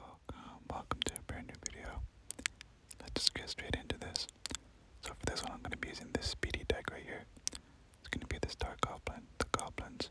Welcome, welcome to a brand new video. Let's just get straight into this. So for this one, I'm going to be using this speedy deck right here. It's going to be the Star Goblin, the Goblins,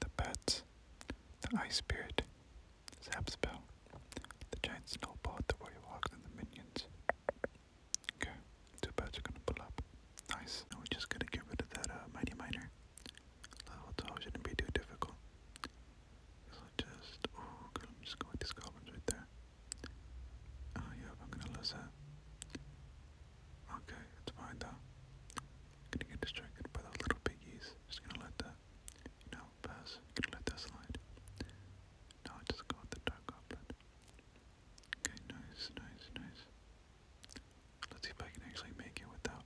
the Bats, the Ice Spirit, Zap Spell, the Giant Snowball, the Warrior Walks, and the Minions. Okay, two bats are going to pull up. Nice. Now we're just going to get rid of that uh, Mighty Miner. Level 12 shouldn't be too difficult. So just, oh, I'm just going with these goblins right there. Oh, yeah, I'm gonna lose that. Okay, it's fine though. gonna get distracted by those little piggies. Just gonna let that, you pass. gonna let that slide. Now I just go with the dark goblin. Okay, nice, nice, nice. Let's see if I can actually make it without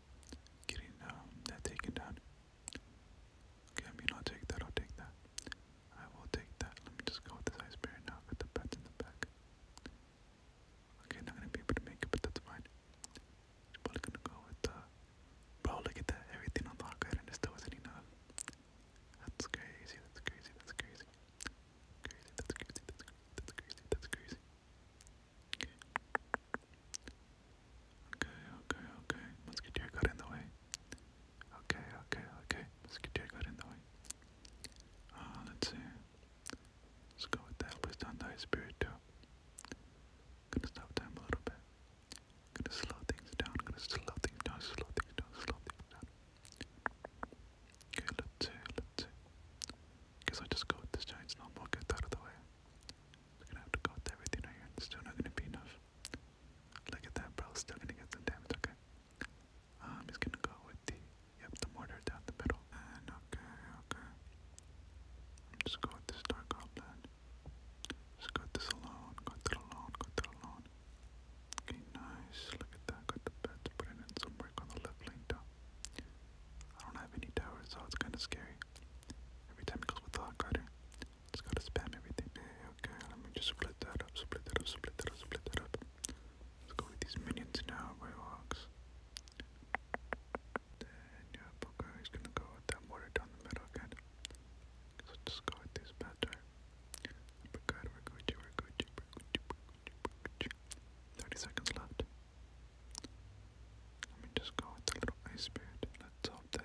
getting um, that taken down. Okay, I mean, i take that, I'll take that. I will take that. Let me just go with this ice bear now. Got the pets in the back. Okay, not gonna be able to make it, but that's fine. Probably gonna go with the. Bro, look at that. Everything on the good and it still wasn't enough. That's crazy, that's crazy, that's crazy. Crazy, that's crazy, that's that's crazy, that's crazy. Okay. Okay, okay, okay. Musketeer got in the way. Okay, okay, okay. Musketeer got in the way. Uh, let's see. Let's go with that. Please don't Spirit, too. Gonna stop time a little bit. Gonna slow things down. Gonna slow things down. Slow things down. Slow things down. Okay, let's see. Let's see. i just go with this giant snowball. Get that out of the way they gonna have to go with everything right here. It's still not gonna be enough. Look at that, bro. Still gonna get some damage, okay? Um, he's gonna go with the, yep, the mortar down the middle. And okay, okay. just go with this Dark Goblin. Just got this alone, got that alone, got that alone. Okay, nice. Look at that. Got the bed put in some work on the left lane down. I don't have any towers, so it's kind of scary. Every time it goes with the hot just gotta spam everything. Okay, let me just split that up, split that up, split that up, split that up. Let's go with these minions now, Railhawks. Then, yeah, Poker is gonna go with that water down the middle again. So just go with this bad turn. Uppercut, we're Gucci, we're Gucci, we're Gucci, we're Gucci. 30 seconds left. Let me just go with the little ice spirit. Let's hope that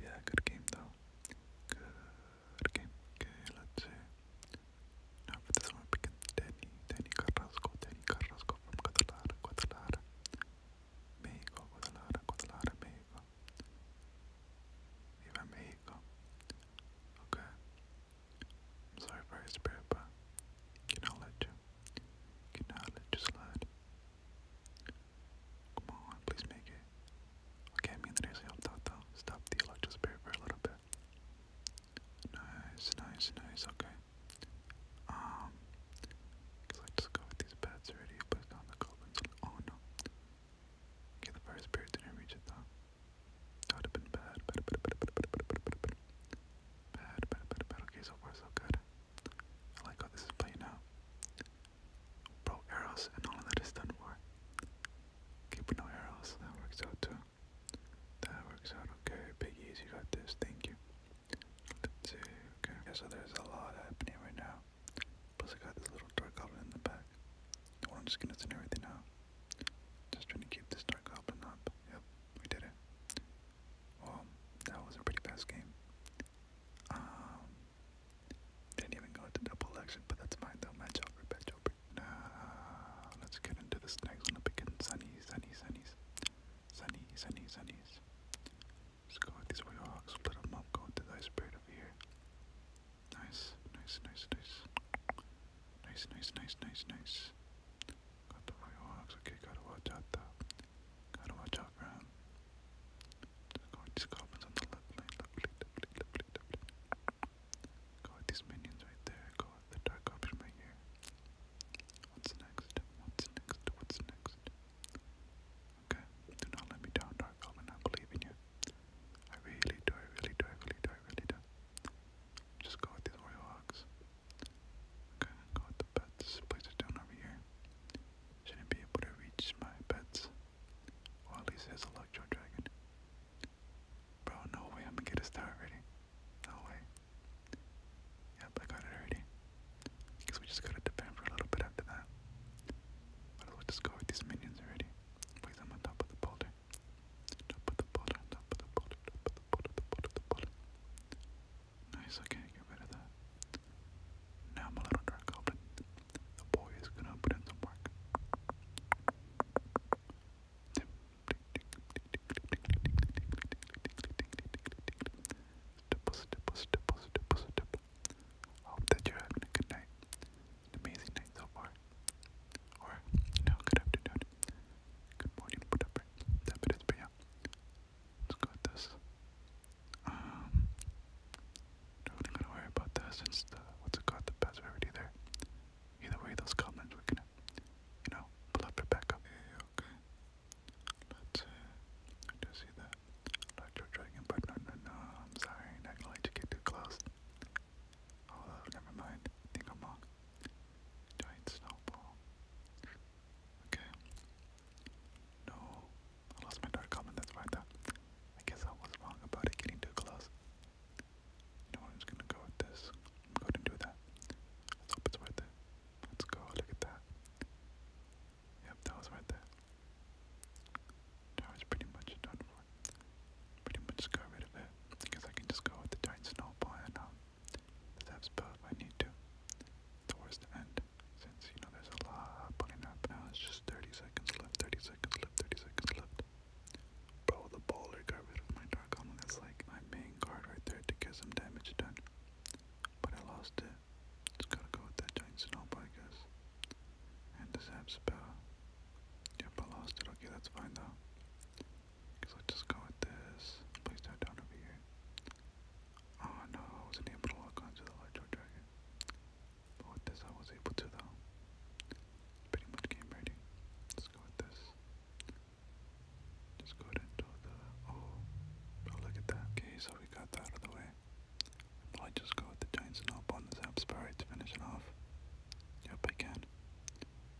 Yeah, good game though. Good game. Okay, let's see. Now for this one, picking Danny, Danny Carrasco, Danny Carrasco from Guadalajara, Guadalajara, Mexico, Guadalajara, Guadalajara, Mexico. Viva Mexico. Okay. sorry for his spirit, but can let you? Can let you slide? Come on, please make it. Okay, I mean that actually helped out though. Stop the electric for a little bit. Nice, nice, nice, okay. Um because go with these bats already, put down the goblins oh no. Okay, the fire spirit didn't reach it though. That would have been bad, bad, bad, bad, bad, bad, bad, bad, bad, bad, bad, bad, bad, okay, so far so good. I like how oh, this is playing out. Bro, arrows and all that is done for. Keep no arrows, that works out too. That works out okay. Big easy, got this, thank you. Let's see, okay. so there's a lot happening right now. Plus, I got this little dark goblin in the back. Well, I'm just gonna send everything out. Just trying to keep this dark goblin up. Yep, we did it. Well, that was a pretty fast game. Um, didn't even go into double election, but that's fine though. Match over, match over. Now, let's get into this next one. I'm picking Sunny, Sunny, Sunny's. Sunny, Sunny, Let's go with these Warhawks, split them up, go into the iceberg over here. Nice, nice, nice, nice. Nice, nice, nice, nice, nice. Got the Warhawks, okay, gotta watch out though. Gotta watch out go with these goblins on the left Go with these minions right there. Go with the dark option right here. What's next? What's next? What's next? Okay, do not let me down, Dark Goblin. I believe in you. I really do, I really do, I really do, I really do. Just go with these Warrior Okay, go with the pets. Place it down over here shouldn't be able to reach my pets. Or at least his Electro Dragon. Bro, no way I'm gonna get a start already. No way. Yep, I got it already. Because we just gotta defend for a little bit after that. But we just go with these minions already. Please, i on top of the boulder. Top of the boulder, top of the boulder, top of the boulder, the boulder, the boulder. Nice, okay, get rid of that. Now my little dark but The boy is gonna put in some work. Hope that you're having a good night. An amazing night so far. Or, no, good afternoon. Good morning, whatever. That bit is Let's go with this. Um, totally not gonna worry about that since what's it called the pets already there. Either way, those comments were gonna, you know, pull up their back Okay, Let's. Uh, I do see that electro dragon, but no, no, no. I'm sorry, not gonna get too close. Oh, never mind. think I'm wrong. Giant snowball. Okay. No, I lost my dark comment, that's why I thought. I guess I was wrong about it getting too close. You know, gonna go with this. Go and do that. Let's it's worth it. Let's go, look at that. Yep, that was worth it. That was pretty much done for. Pretty much got rid of it. I guess I can just go with the giant snowball and um, the I need to. Towards the end. Since, you know, there's a lot putting now, it's just 30 seconds left, 30 seconds left, 30 seconds left. Bro, the baller got my Dark Omen. That's like my main card right there to get some damage done. But I lost it. Just gotta go with that giant snowball, I guess. And the zap spell. Yep, I lost it. Okay, that's fine though. Cause just go with this. Place that down over here. Oh no, I wasn't able to lock onto the Electro Dragon. But with this, I was able to though. Pretty much game ready. Let's go with this. Just go ahead and do the. Oh, oh, look at that. Okay, so we got that out of the way. i just go with the Giant Snob on the Zap spire to finish it off. Yep, I can.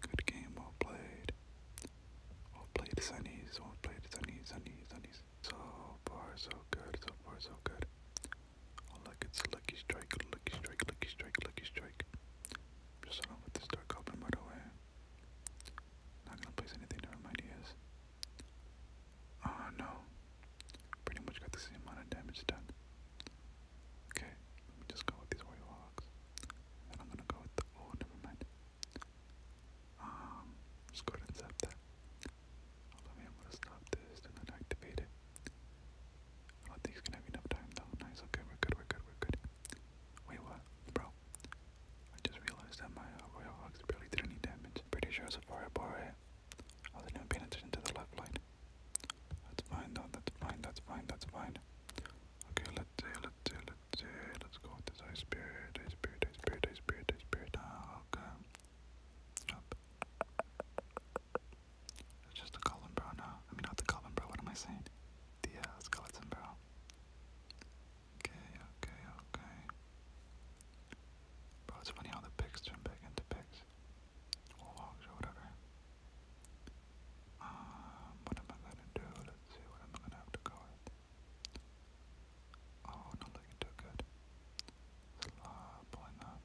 Good game, well played. Well played, Sunnies, well played, Sunnies, Sunnies, Sunnies. So far, so good. So far, so good. Oh, look, it's a lucky strike. Lucky strike, lucky strike, lucky strike. I'm just gonna put this dark goblin right away. Not gonna place anything to remind you is. Oh no. Pretty much got the same amount of damage done. Okay, let me just go with these warrior walks. And I'm gonna go with the. Oh, never mind. Um, just go ahead and zap that. Although I am going to stop this and then activate it. I think he's going have enough time though. Nice, okay, we're good, we're good, we're good. Wait, what? Bro. I just realized that my uh, oil box Hawks barely did any damage. Pretty sure it's a fireball, right? Eh? I wasn't paying attention to the left line. That's fine though, that's fine, that's fine, that's fine. Okay, let's see, let's see, let's see, let's go with this ice spirit, ice spirit, ice spirit, ice spirit, ice spirit, ah, okay just a column I mean, not the column bro, what am I saying? The skeleton bro. Okay, okay, okay. Bro, it's funny how the pigs turn back into pigs. Or logs or whatever. Um, what am I gonna do? Let's see, what am I gonna have to go with? Oh, not looking too good. Slow pulling up.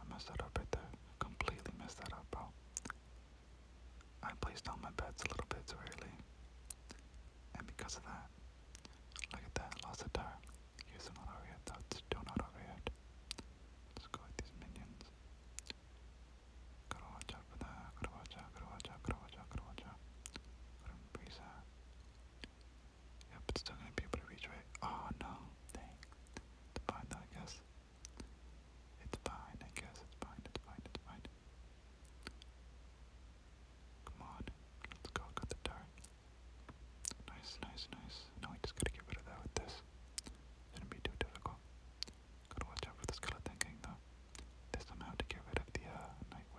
I messed that up right there. Completely messed that up, bro. I placed down my bets a little bit too early. And because of that, look at that, lost a tire. Here's not over yet, though. It's still not Let's go with these minions. Gotta watch out for that. Gotta watch out, gotta watch out, gotta watch out, gotta watch Yep, still gonna be able to reach, right? Oh no, dang. It's fine though, I guess. It's fine, I guess. It's fine, it's fine, it's fine. Come on, let's go, got the dart. Nice, nice, nice. Now we just gotta get rid of that with this. Shouldn't be too difficult. Gotta watch out for the skeleton gang though. There's somehow to get rid of the uh,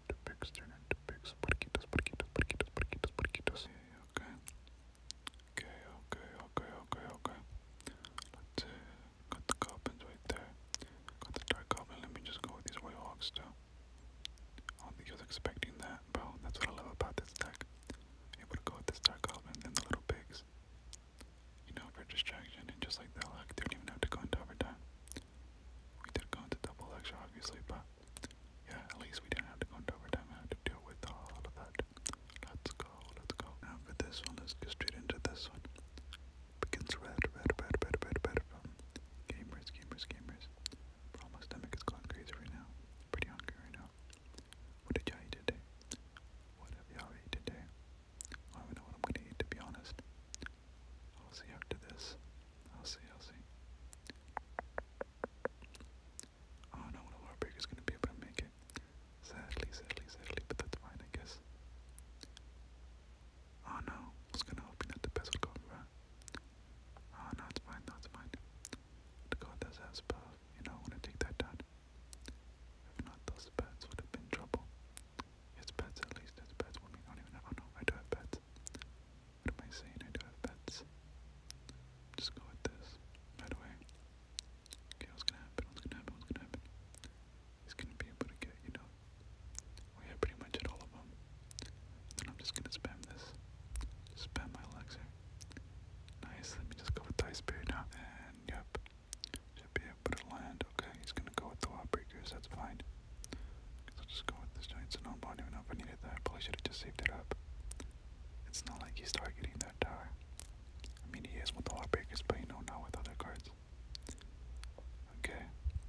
into pigs, turn into pigs, porquitos, porquitos, porquitos, porquitos, porquitos. Okay, okay, okay, okay, okay, okay. Let's see, uh, got the goblins right there. Got the dark goblin, let me just go with these white hawks too. I don't think he was expecting that, bro. That's what I love about this deck. Able to go with this dark goblin and the little pigs. You know, for distraction, and just like that, like, they didn't even have to go into overtime. We did go into double action, obviously, but yeah, at least we didn't have to go into overtime. I had to deal with all of that. Let's go, let's go. Now for this one, let's go straight into this one. Begins red, red, red, red, red, red from gamers, gamers, gamers. my stomach is going crazy right now. Pretty hungry right now. What did y'all eat today? What have y'all eaten today? I don't know what I'm gonna eat to be honest. I'll see after this. I'll see, I'll see. I don't know what break is gonna be able to make it. Sadly, sadly, sadly, but that's fine, I guess. Oh no, I was gonna hope that the best would go Oh no, it's fine, it's fine. The god does have spells, you know, I wanna take that down. If not, those bats would have been trouble. It's pets at least, it's pets. I mean, not even Oh no, I do have pets. What am I saying? I do have pets. Just go with this. Right away. Okay, what's gonna happen? What's gonna happen? What's gonna happen? He's gonna be able to get, you know. We have pretty much at all of them. Then I'm just gonna spam this. spam my elixir. Nice, let me just go with the ice berry now. And yep. Should be able to land. Okay, he's gonna go with the wall breakers, that's fine. Because i just go with this giant Sonon even if I needed that. probably should have just saved it up. It's not like he's targeting that tower. I mean, he is with the Heartbreakers, but you know, not with other cards. Okay.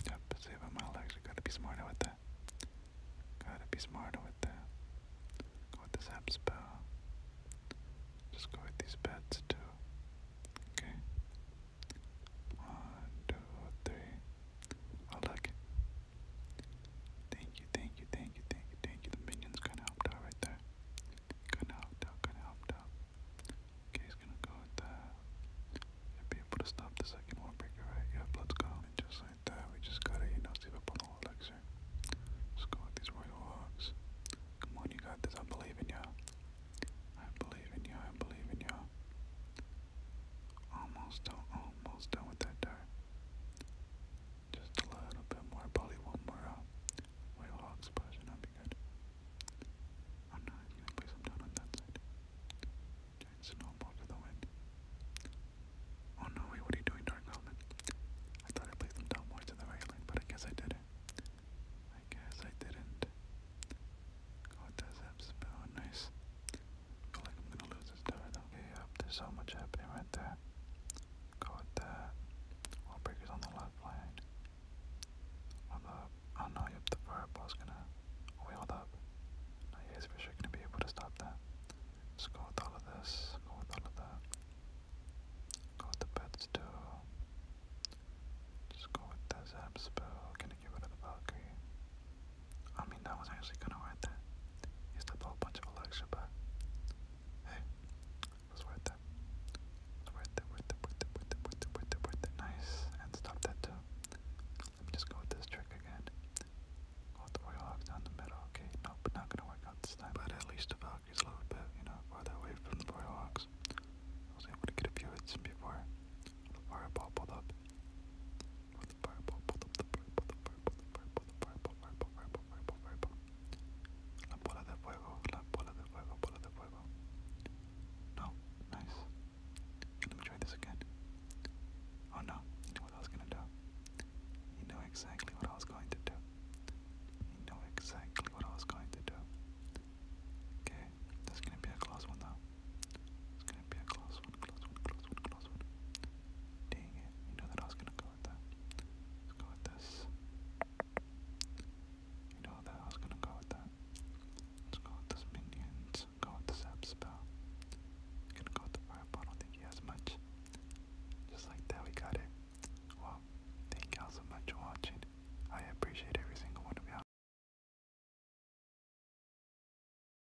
Yep, save a mile. Actually, gotta be smarter with that. Gotta be smarter with that. Go with this app spell. Just go with these bets too. Okay. One, two, three. Oh look. Thank you, thank you, thank you, thank you, thank you. The minion's kinda helped out right there. Kinda helped out, kinda helped out. he's gonna go with that. Should be able to stop the second one breaker, right? Yep, let's just like that, we just gotta, you know, save up on all elixir. Let's go with these royal hogs. Come on, you got this. I believe in ya. I believe in ya. I believe in ya. Almost done, almost done with that dirt. Just a little bit more, probably one more uh, whale hog splash and that be good. I'm gonna place them down on that side. Giant snowball to the wind. Oh no, wait, what are you doing, Dark Goblin? I thought I placed them down more to the right but I guess I didn't. I guess I didn't. Go with that nice feel like I'm gonna lose this door Okay, yep, there's so much happening right there. Go with that. Wall breakers on the left lane. Hold up. Oh no, yep, the fireball's gonna. Oh, up. No, you gonna be able to stop that. Just go with all of this. Go with all of that. Go with the beds too. Just go with the zap spell. Gonna get rid of Valkyrie. I mean, that was actually kind of worth that. He slipped a whole bunch of Alexa, but hey, it was worth it. It was worth it, worth it, worth it, worth it, worth it, worth it, worth it. Nice. And stop that too. Let me just go with this trick again. Go with the Warlock down the middle. Okay, nope, not gonna work out this time. But at least the Valkyrie's a little bit, you know, farther away from the Warlocks. I was able to get a few hits before the fireball pulled up. La bola de fuego, la bola de fuego, bola de fuego. No, nice. Let me try this again. Oh no, you know what I was gonna do. You know exactly what I was going to do. You know exactly what I was going to do. Okay, this is gonna be a close one though. It's gonna be a close one, close one, close one, close one. Dang it, you know that I was gonna go with that. go with this. You know that I was gonna go with that. Let's go with this minions, go with the zap spell. going go with the fireball, I don't think he has much. Just like that, we got it. Well, thank y'all so much for watching. I appreciate every single one of y'all.